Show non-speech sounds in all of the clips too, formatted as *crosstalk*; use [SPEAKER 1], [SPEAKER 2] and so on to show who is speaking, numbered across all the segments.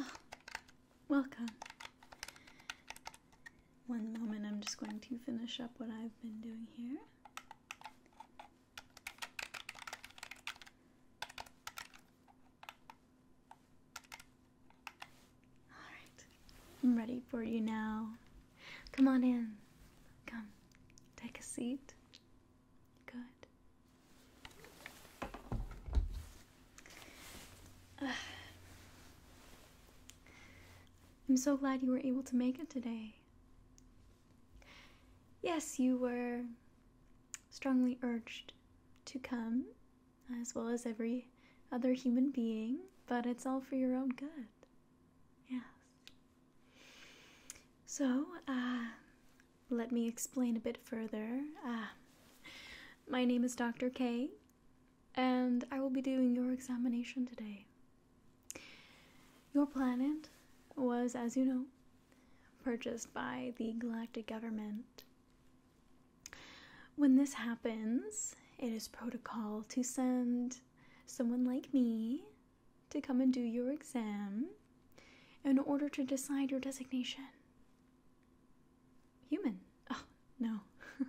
[SPEAKER 1] Oh, welcome. One moment, I'm just going to finish up what I've been doing here. Alright, I'm ready for you now. Come on in. Come, take a seat. Good. *sighs* I'm so glad you were able to make it today. Yes, you were strongly urged to come, as well as every other human being, but it's all for your own good. Yes. So, uh, let me explain a bit further. Uh, my name is Dr. K, and I will be doing your examination today. Your planet was, as you know, purchased by the galactic government. When this happens, it is protocol to send someone like me to come and do your exam in order to decide your designation. Human. *laughs* Oh, no. *laughs*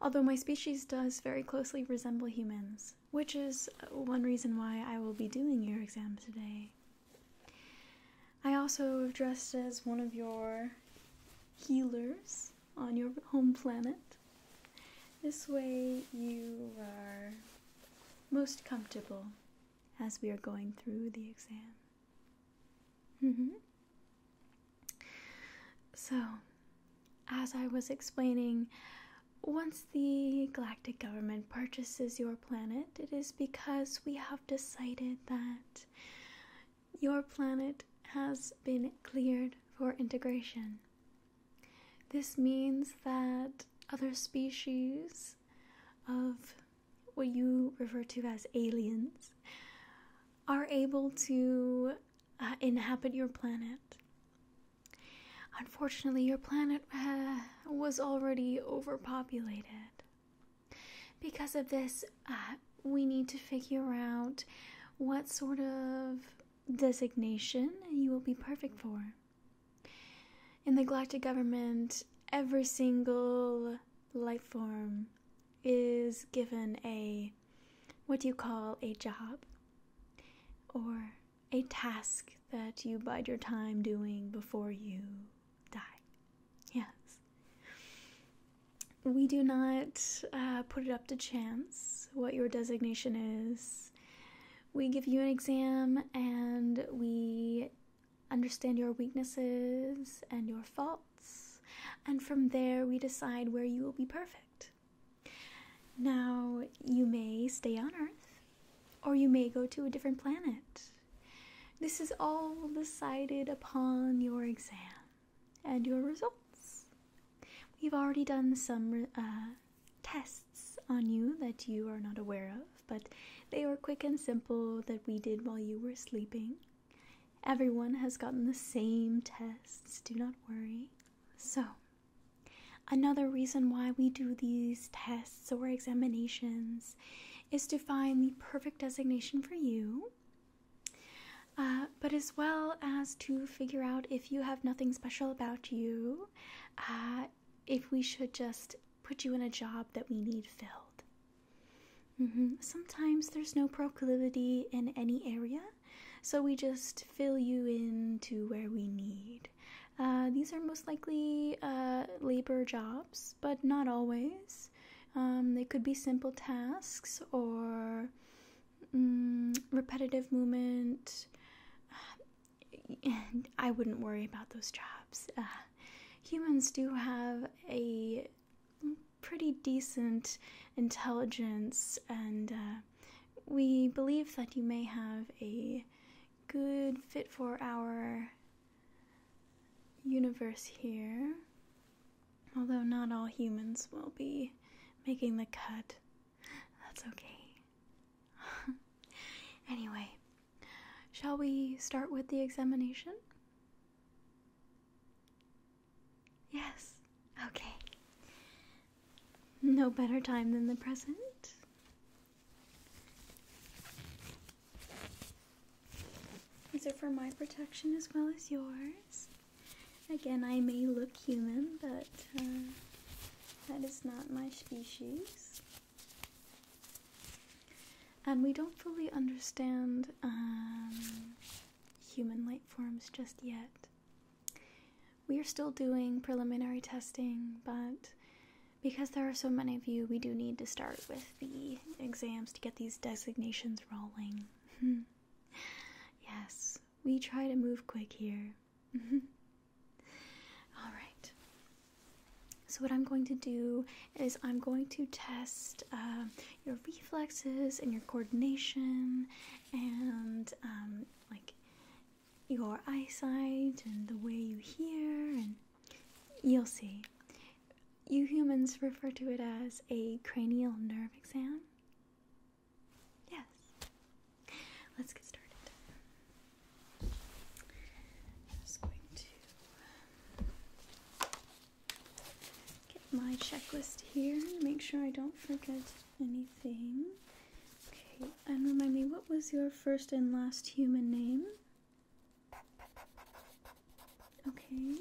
[SPEAKER 1] Although my species does very closely resemble humans, which is one reason why I will be doing your exam today. I also have dressed as one of your healers on your home planet. This way you are most comfortable as we are going through the exam. Mm-hmm. So, as I was explaining, once the galactic government purchases your planet, it is because we have decided that your planet has been cleared for integration. This means that other species of what you refer to as aliens are able to uh, inhabit your planet. Unfortunately, your planet uh, was already overpopulated. Because of this, uh, we need to figure out what sort of designation you will be perfect for. In the Galactic Government, every single life form is given a what do you call a job or a task that you bide your time doing before you die. Yes. We do not uh, put it up to chance what your designation is. We give you an exam and we understand your weaknesses and your faults, and from there we decide where you will be perfect. Now, you may stay on Earth, or you may go to a different planet. This is all decided upon your exam and your results. We've already done some uh, tests on you that you are not aware of, but they were quick and simple that we did while you were sleeping. Everyone has gotten the same tests, do not worry. So, Another reason why we do these tests or examinations is to find the perfect designation for you, uh, but as well as to figure out if you have nothing special about you, uh, if we should just put you in a job that we need filled. Mm-hmm. Sometimes there's no proclivity in any area, so we just fill you in to where we need. Uh, these are most likely uh, labor jobs, but not always. Um, they could be simple tasks or mm, repetitive movement. And *sighs* I wouldn't worry about those jobs. Uh, humans do have a pretty decent intelligence and we believe that you may have a good fit for our universe here, although not all humans will be making the cut. That's okay. *laughs* anyway, shall we start with the examination? Yes. Okay. No better time than the present. These are for my protection as well as yours. Again, I may look human, but uh, that is not my species. And we don't fully understand um, human light forms just yet. We are still doing preliminary testing, but because there are so many of you, we do need to start with the exams to get these designations rolling. *laughs* yes, we try to move quick here. *laughs* All right. So, what I'm going to do is I'm going to test uh, your reflexes and your coordination and um, like your eyesight and the way you hear, and you'll see. You humans refer to it as a cranial nerve exam. Yes. Let's get started. I'm just going to um, get my checklist here make sure I don't forget anything. Okay, and remind me, what was your first and last human name? Okay.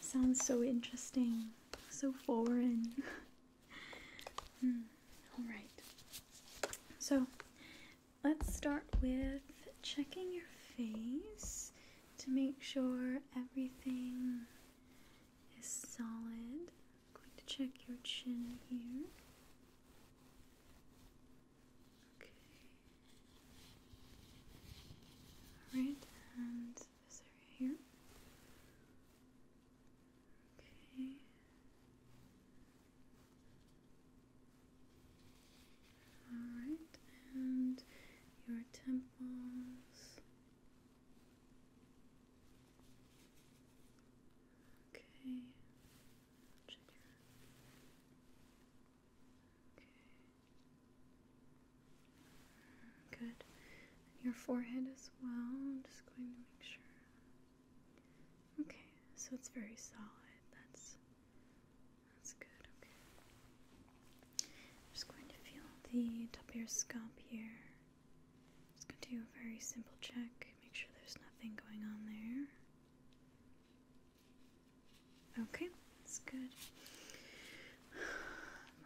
[SPEAKER 1] Sounds so interesting, so foreign. *laughs* Hmm, all right. So, let's start with checking your face to make sure everything is solid. I'm going to check your chin here. Okay. Alright, and this area here. Okay. Alright, and your temples. Okay. Okay. Good. And your forehead as well. just going to make sure. Okay, so it's very solid. That's that's good. Okay. I'm just going to feel the top of your scalp here. Just going to do a very simple check, make sure there's nothing going on there. Okay, that's good. *sighs*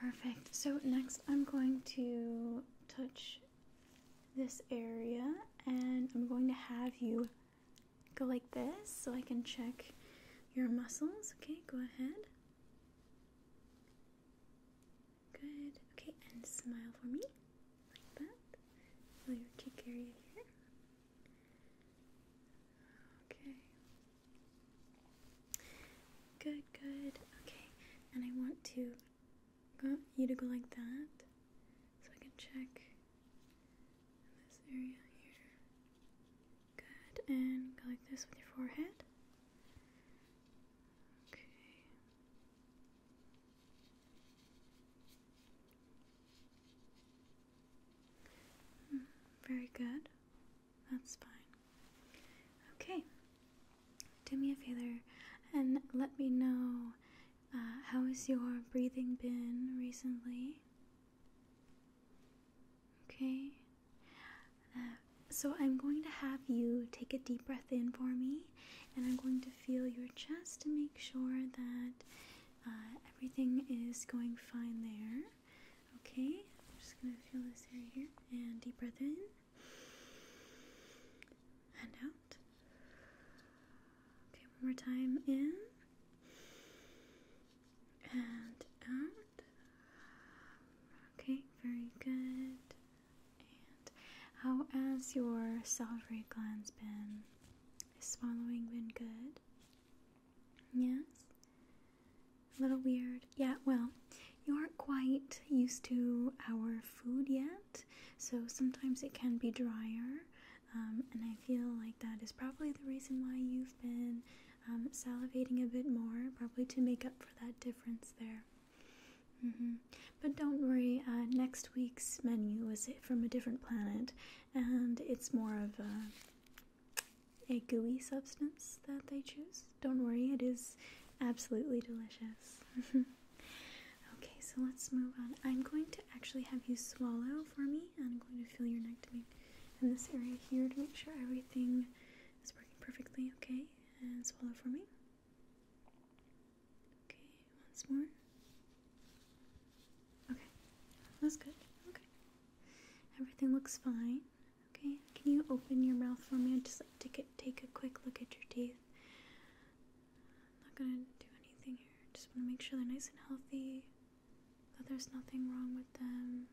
[SPEAKER 1] Perfect. So, next I'm going to touch this area and I'm going to have you go like this so I can check your muscles. Okay, go ahead. Good. Okay, and smile for me. Like that. your cheek area here. Okay. Good, good. Okay, and I want to you to go like that so I can check this area here. Good, and go like this with your forehead. Okay. Hmm, very good. That's fine. Okay. Do me a favor and let me know uh, how has your breathing been recently? Okay. Uh, so I'm going to have you take a deep breath in for me, and I'm going to feel your chest to make sure that uh, everything is going fine there. Okay. I'm just going to feel this area here, and deep breath in and out. Okay, one more time in and Okay, very good. And how has your salivary glands been? Is swallowing been good? Yes? A little weird. Yeah, well, you aren't quite used to our food yet, so sometimes it can be drier. Um, and I feel like that is probably the reason why you've been um, salivating a bit more, probably to make up for that difference there. Mm-hmm. But don't worry, uh, next week's menu is from a different planet, and it's more of a, gooey substance that they choose. Don't worry, it is absolutely delicious. *laughs* okay, so let's move on. I'm going to actually have you swallow for me, and I'm going to feel your neck to me in this area here to make sure everything it's working perfectly, okay? And swallow for me. Okay, once more. Okay, that's good. Okay. Everything looks fine. Okay, can you open your mouth for me? I'd just like take a quick look at your teeth. I'm not gonna do anything here. Just want to make sure they're nice and healthy that there's nothing wrong with them.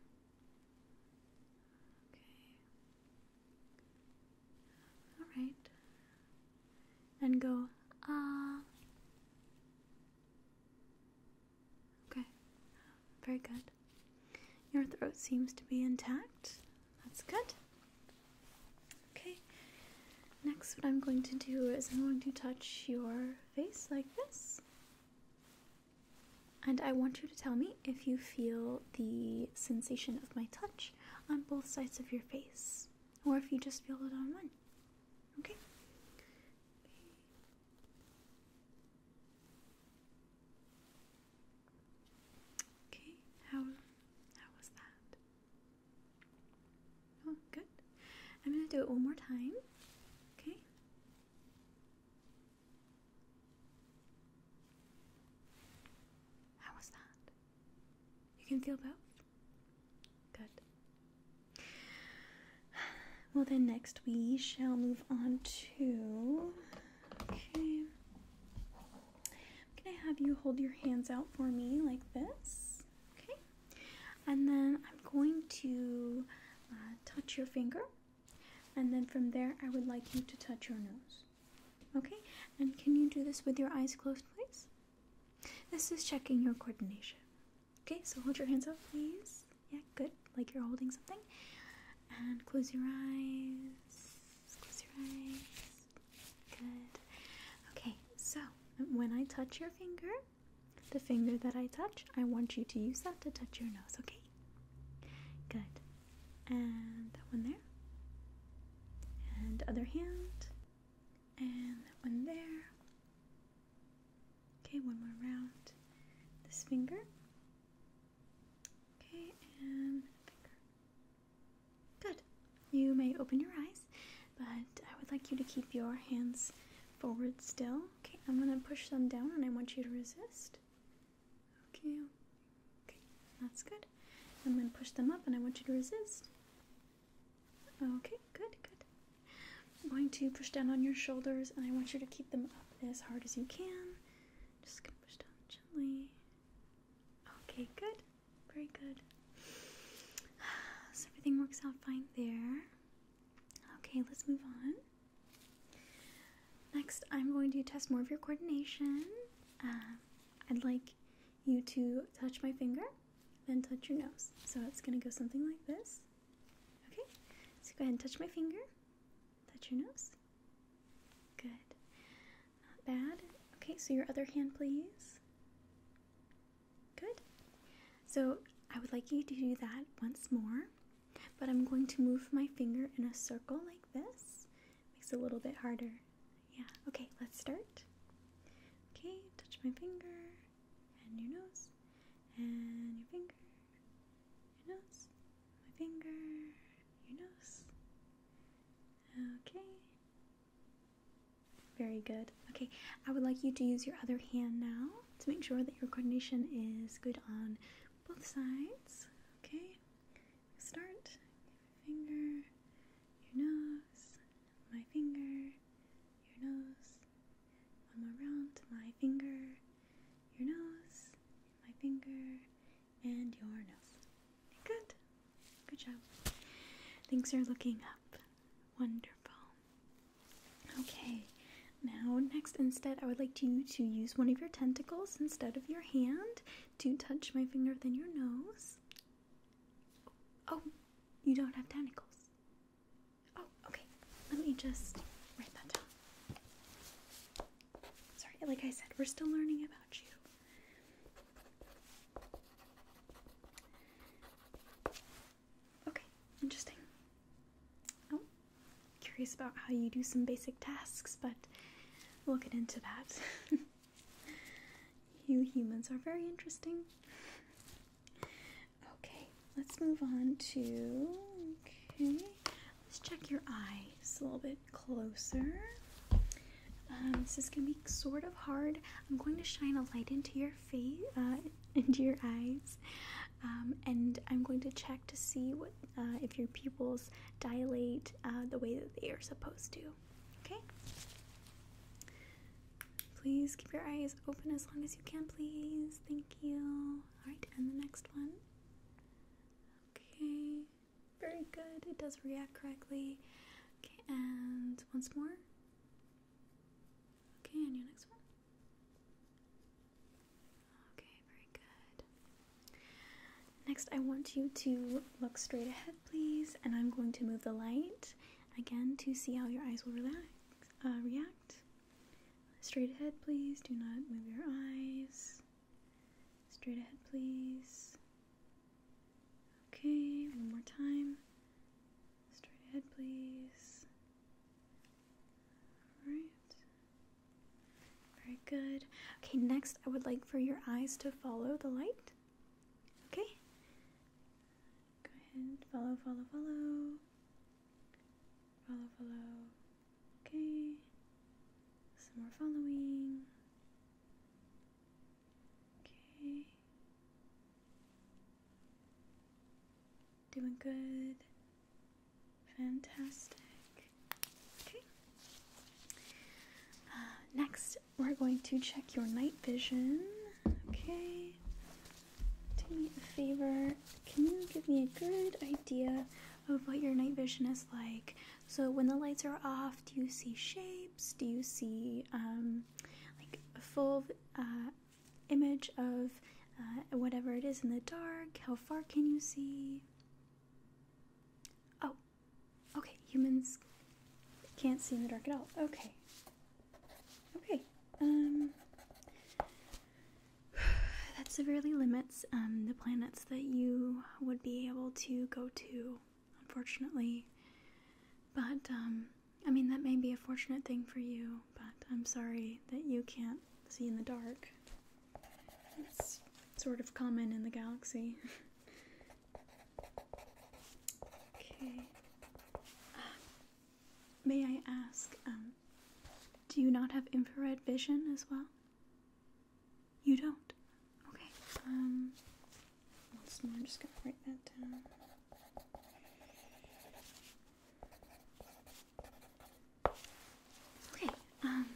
[SPEAKER 1] Okay. All right. And go, ah. Okay. Very good. Your throat seems to be intact. That's good. Okay. Next, what I'm going to do is I'm going to touch your face like this. And I want you to tell me if you feel the sensation of my touch on both sides of your face, or if you just feel it on one. Okay? Okay, how, how was that? Oh, good. I'm going to do it one more time. Okay? How was that? You can feel both? Good. Well, then next we shall move on to. Okay. I'm going to have you hold your hands out for me like this. Okay. And then I'm going to uh, touch your finger and then from there, I would like you to touch your nose. Okay? And can you do this with your eyes closed, please? This is checking your coordination. Okay, so hold your hands up, please. Yeah, good. Like you're holding something. And close your eyes. Close your eyes. Good. Okay, so when I touch your finger, the finger that I touch, I want you to use that to touch your nose, okay? Good. And that one there. And other hand. And that one there. Okay, one more round. This finger. Okay, and finger. Good. You may open your eyes, but I would like you to keep your hands forward still Okay, I'm gonna push them down and I want you to resist. Okay, okay, that's good. I'm gonna push them up and I want you to resist. Okay, good, good. I'm going to push down on your shoulders and I want you to keep them up as hard as you can. Just gonna push down gently. Okay, good. Very good. *sighs* So everything works out fine there. Okay, let's move on. Next, I'm going to test more of your coordination. Um, I'd like you to touch my finger, then touch your nose. So it's going to go something like this. Okay, so go ahead and touch my finger, touch your nose. Good. Not bad. Okay, so your other hand, please. Good. So I would like you to do that once more. But I'm going to move my finger in a circle like this. Makes it a little bit harder. Yeah, okay, let's start. Okay, touch my finger and your nose and your finger, your nose, my finger, your nose. Okay. Very good. Okay, I would like you to use your other hand now to make sure that your coordination is good on both sides. Okay, start your finger, your nose, my finger, your nose. One more round, my finger, your nose, my finger, and your nose. Good. Good job. Things are looking up. Wonderful. Okay, now next instead, I would like you to, use one of your tentacles instead of your hand to touch my finger than your nose. Oh, you don't have tentacles. Oh, okay. Let me just write that down. Sorry, like I said, we're still learning about you. Okay, interesting. Oh, curious about how you do some basic tasks, but we'll get into that. *laughs* you humans are very interesting. Okay, let's move on to. Okay, let's check your eyes a little bit closer. Um, this is gonna be sort of hard. I'm going to shine a light into your face, uh, *laughs* into your eyes. Um, and I'm going to check to see what uh, if your pupils dilate uh, the way that they are supposed to. Okay. Please keep your eyes open as long as you can, please. Thank you. All right, and the next one. Okay, very good. It does react correctly. Okay, and once more. Okay, and your next one. Okay, very good. Next, I want you to look straight ahead, please, and I'm going to move the light again to see how your eyes will relax, uh, react. Straight ahead, please. Do not move your eyes. Straight ahead, please. Okay, one more time. Straight ahead, please. All right. Very good. Okay, next I would like for your eyes to follow the light. Okay? Go ahead. Follow, follow, follow. Follow, follow. Okay. Some more following. Okay. Doing good. Fantastic. Okay. Uh, next, we're going to check your night vision. Okay. Do me a favor. Can you give me a good idea of what your night vision is like? So, when the lights are off, do you see shapes? Do you see um, like full uh, image of uh, whatever it is in the dark. How far can you see? Oh, okay, humans can't see in the dark at all. Okay. Okay. Um, *sighs* that severely limits um, the planets that you would be able to go to, unfortunately. But, um, I mean, that may be a fortunate thing for you but I'm sorry that you can't see in the dark. It's sort of common in the galaxy. *laughs* okay. Ah, may I ask, um, do you not have infrared vision as well? You don't? Okay. Um, once more, just gonna write that down. Okay, um,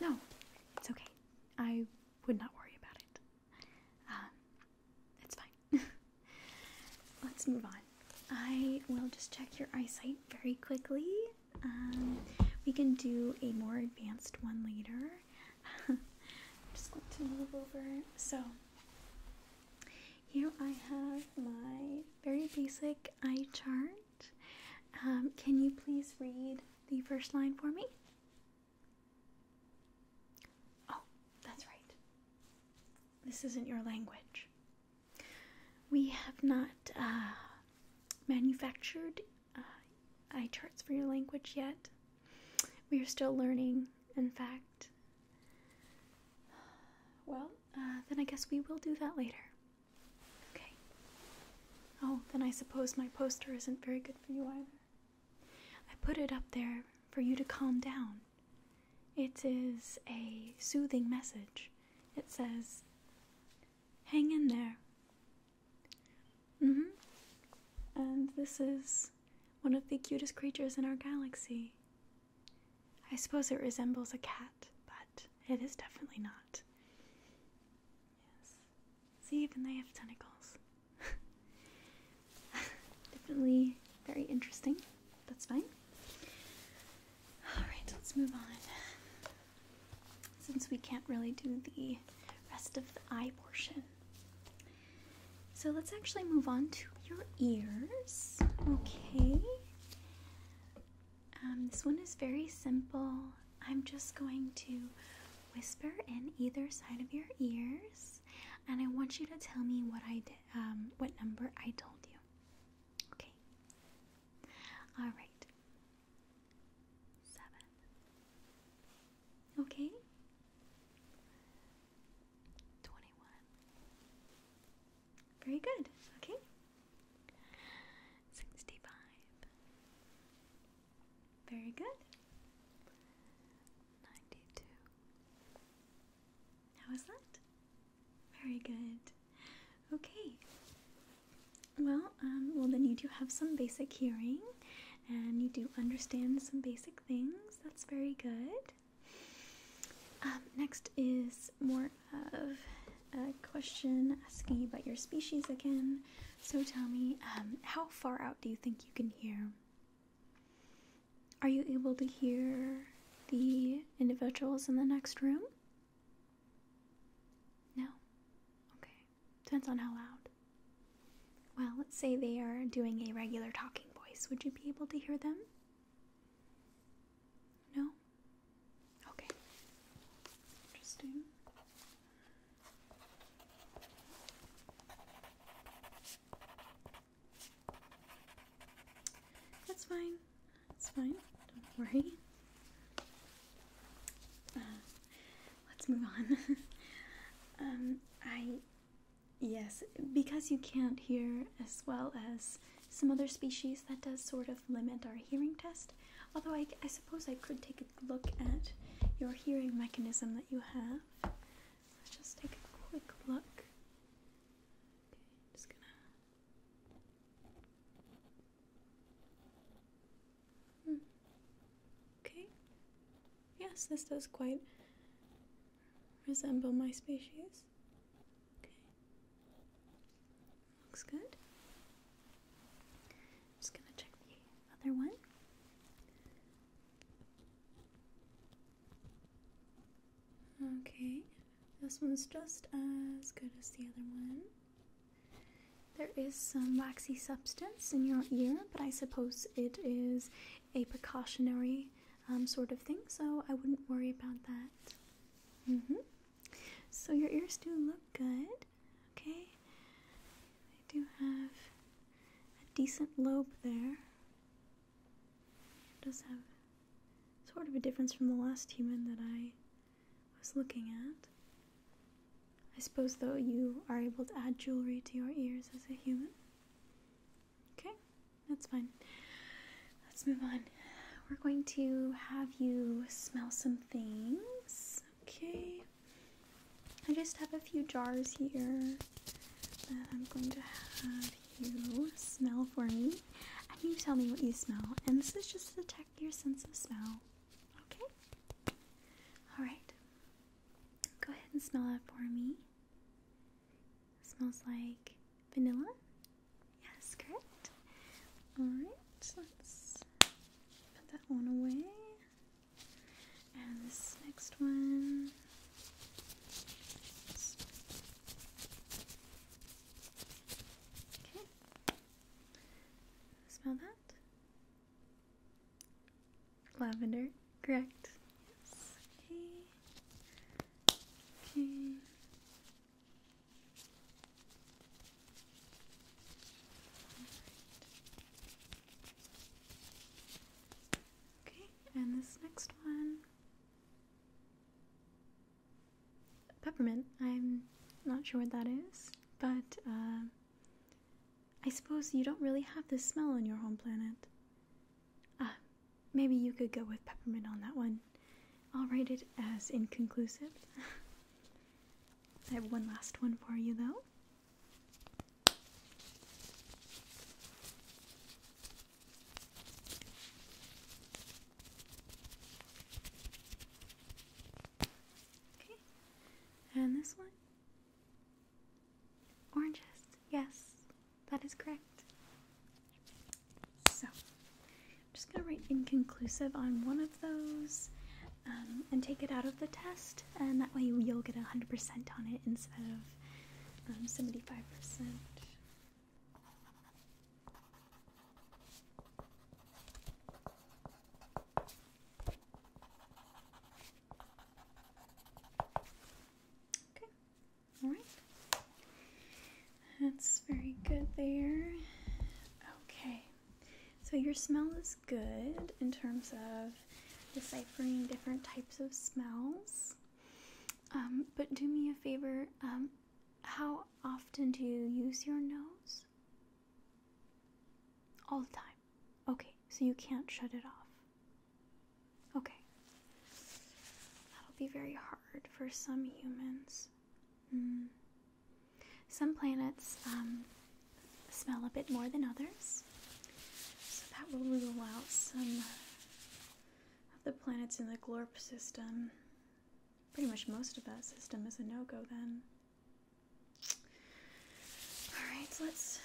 [SPEAKER 1] no, it's okay. I would not worry about it. Um, it's fine. *laughs* Let's move on. I will just check your eyesight very quickly. Um, we can do a more advanced one later. I'm *laughs* just going to move over. So, here I have my very basic eye chart. Um, can you please read the first line for me? Oh, that's right. This isn't your language. We have not uh, manufactured uh, eye charts for your language yet. We are still learning, in fact. Well, uh, then I guess we will do that later. Okay. Oh, then I suppose my poster isn't very good for you either. I put it up there for you to calm down. It is a soothing message. It says, Hang in there. Mm hmm. And this is one of the cutest creatures in our galaxy. I suppose it resembles a cat, but it is definitely not. Yes. See, even they have tentacles. *laughs* definitely very interesting. That's fine. Alright, let's move on. Since we can't really do the rest of the eye portion. So let's actually move on to your ears. Okay. Um, this one is very simple. I'm just going to whisper in either side of your ears, and I want you to tell me what I did, um, what number I told you. Okay. All right. Seven. Okay. 21. Very good, okay? 65. Very good. 92. How that? Very good. Okay. Well, um, well, then you do have some basic hearing and you do understand some basic things. That's very good. Um, next is more of a question asking about your species again. So tell me, um, how far out do you think you can hear? Are you able to hear the individuals in the next room? No? Okay. Depends on how loud. Well, let's say they are doing a regular talking voice. Would you be able to hear them? No? Okay. Interesting. That's fine. That's fine. Don't worry. Uh, let's move on. *laughs* um, I Yes, because you can't hear as well as some other species, that does sort of limit our hearing test. Although I, suppose I could take a look at your hearing mechanism that you have. Let's just take a quick look. Okay. Hmm. Yes, this does quite resemble my species. Okay. Looks good. Just gonna check the other one. Okay, this one's just as good as the other one. There is some waxy substance in your ear, but I suppose it is a precautionary um, sort of thing, so I wouldn't worry about that. Mm-hmm. So your ears do look good, okay? I do have a decent lobe there. It does have sort of a difference from the last human that I was looking at. I suppose, though, you are able to add jewelry to your ears as a human. Okay, that's fine. Let's move on. We're going to have you smell some things. Okay. I just have a few jars here that I'm going to have you smell for me. And you tell me what you smell. And this is just to check your sense of smell. Okay? Alright. Go ahead and smell that for me. Smells like vanilla. Yes, correct. Alright, let's put that one away. And this next one. Okay. Smell that? Lavender, correct. Yes. Okay. Okay, and this next one. Peppermint. I'm not sure what that is, but uh, I suppose you don't really have this smell on your home planet. Uh, maybe you could go with peppermint on that one. I'll write it as inconclusive. *laughs* I have one last one for you though. Okay, and this one? Oranges, yes, that is correct. So, I'm just going to write inconclusive on one of those um, and take it out of the test, and that way you'll get 100% on it instead of 75%. Um, okay, Alright. That's very good there. Okay. So your smell is good in terms of deciphering different types of smells. Um, but do me a favor, um, how often do you use your nose? All the time. Okay, so you can't shut it off. Okay. That'll be very hard for some humans. Hmm. Some planets um, smell a bit more than others, so that will rule out some of the planets in the Glorp system. Pretty much most of that system is a no go then. Alright, let's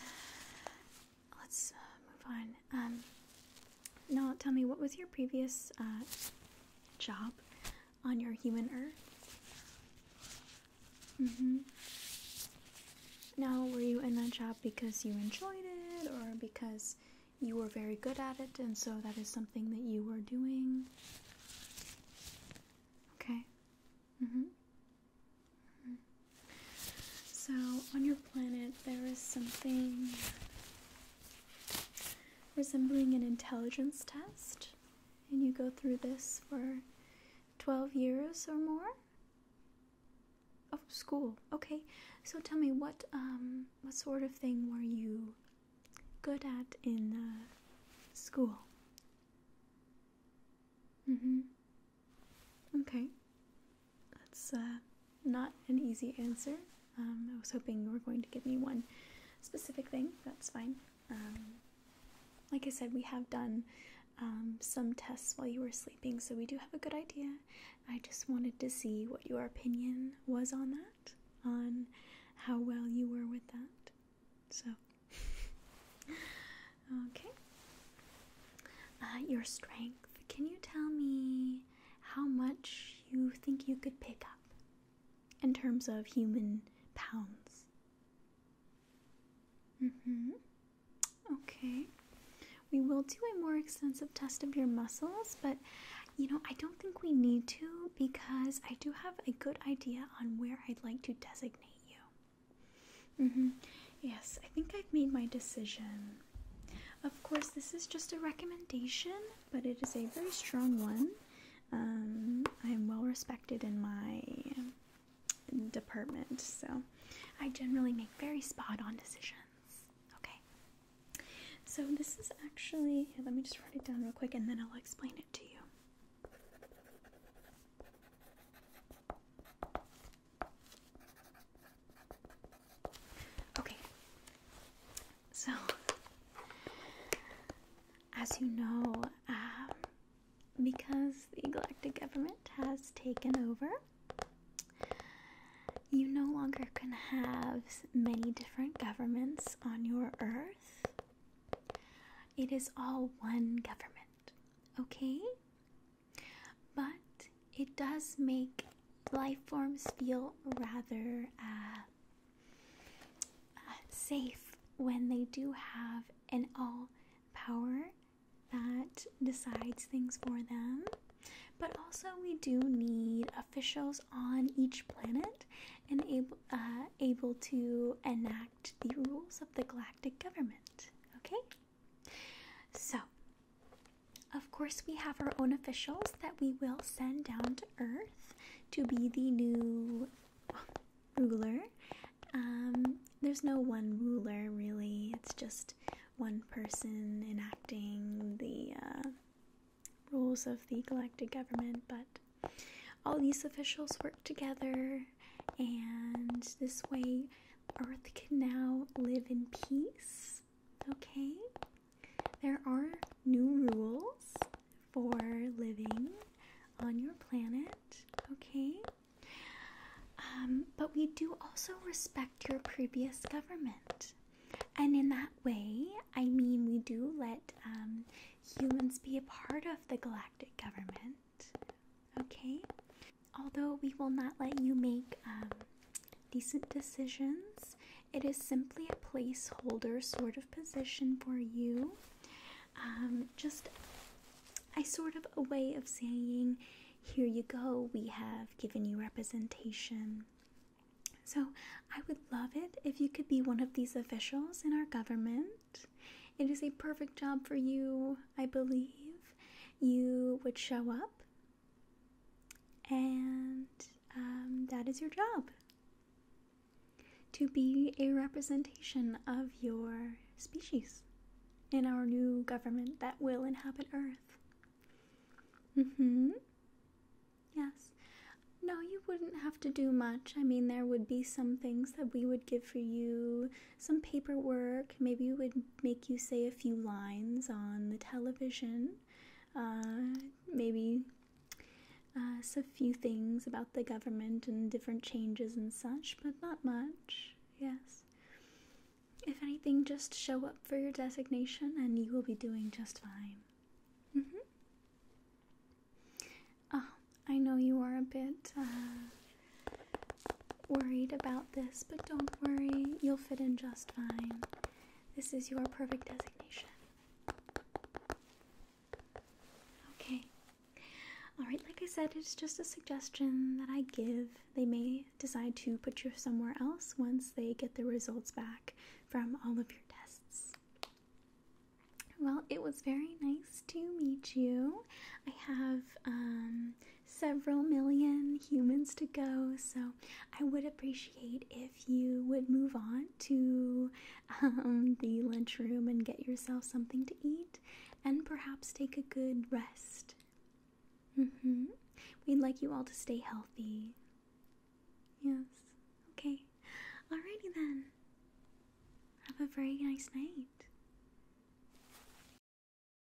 [SPEAKER 1] let's uh, move on. Um, now, tell me, what was your previous uh, job on your human earth? Mm-hmm. Now, were you in that job because you enjoyed it or because you were very good at it and so that is something that you were doing? Okay. Mm-hmm. Mm-hmm. So, on your planet, there is something resembling an intelligence test, and you go through this for 12 years or more of oh, school. Okay, so tell me what um, what sort of thing were you good at in uh, school? Mm-hmm. Okay. That's uh, not an easy answer. Um, I was hoping you were going to give me one specific thing. That's fine. Um, like I said, we have done um, some tests while you were sleeping, so we do have a good idea. I just wanted to see what your opinion was on that, on how well you were with that. So, *laughs* okay. Uh, your strength. Can you tell me how much you think you could pick up in terms of human pounds. mm Mhm. Okay. We will do a more extensive test of your muscles, but you know, I don't think we need to because I do have a good idea on where I'd like to designate you. mm Mhm. Yes, I think I've made my decision. Of course, this is just a recommendation, but it is a very strong one. Um, I am well respected in my department, so I generally make very spot on decisions. Okay, so this is actually, let me just write it down real quick and then I'll explain it to you. Okay. So, as you know, um, because the galactic government has taken over, you no longer can have many different governments on your Earth. It is all one government, okay? But it does make life forms feel rather uh, uh, safe when they do have an all power that decides things for them. But also, we do need officials on each planet and able, uh, able to enact the rules of the galactic government. Okay? So, of course, we have our own officials that we will send down to Earth to be the new ruler. Um, there's no one ruler really, it's just one person enacting the uh, rules of the galactic government. But all these officials work together, and this way, Earth can now live in peace okay? There are new rules for living on your planet, okay? Um, but we do also respect your previous government. And in that way, I mean, we do let um, humans be a part of the galactic government, okay? Although we will not let you make um, decent decisions, it is simply a placeholder sort of position for you. Um, just a sort of a way of saying, here you go, we have given you representation. So I would love it if you could be one of these officials in our government. It is a perfect job for you, I believe. You would show up and um, that is your job to be a representation of your species in our new government that will inhabit Earth. Mm hmm. Yes. No, you wouldn't have to do much. I mean, there would be some things that we would give for you, some paperwork. Maybe you would make you say a few lines on the television, uh, maybe uh, a few things about the government and different changes and such, but not much. Yes. If anything, just show up for your designation and you will be doing just fine. Mm-hmm. Ah, I know you are a bit uh, worried about this, but don't worry, you'll fit in just fine. This is your perfect designation. Okay. Alright, like I said, it's just a suggestion that I give. They may decide to put you somewhere else once they get the results back from all of your tests. Well, it was very nice to meet you. I have um, several million humans to go. So I would appreciate if you would move on to um, the lunchroom and get yourself something to eat and perhaps take a good rest. Mm-hmm. We'd like you all to stay healthy. Yes. Okay. Alrighty then. Have a very nice night.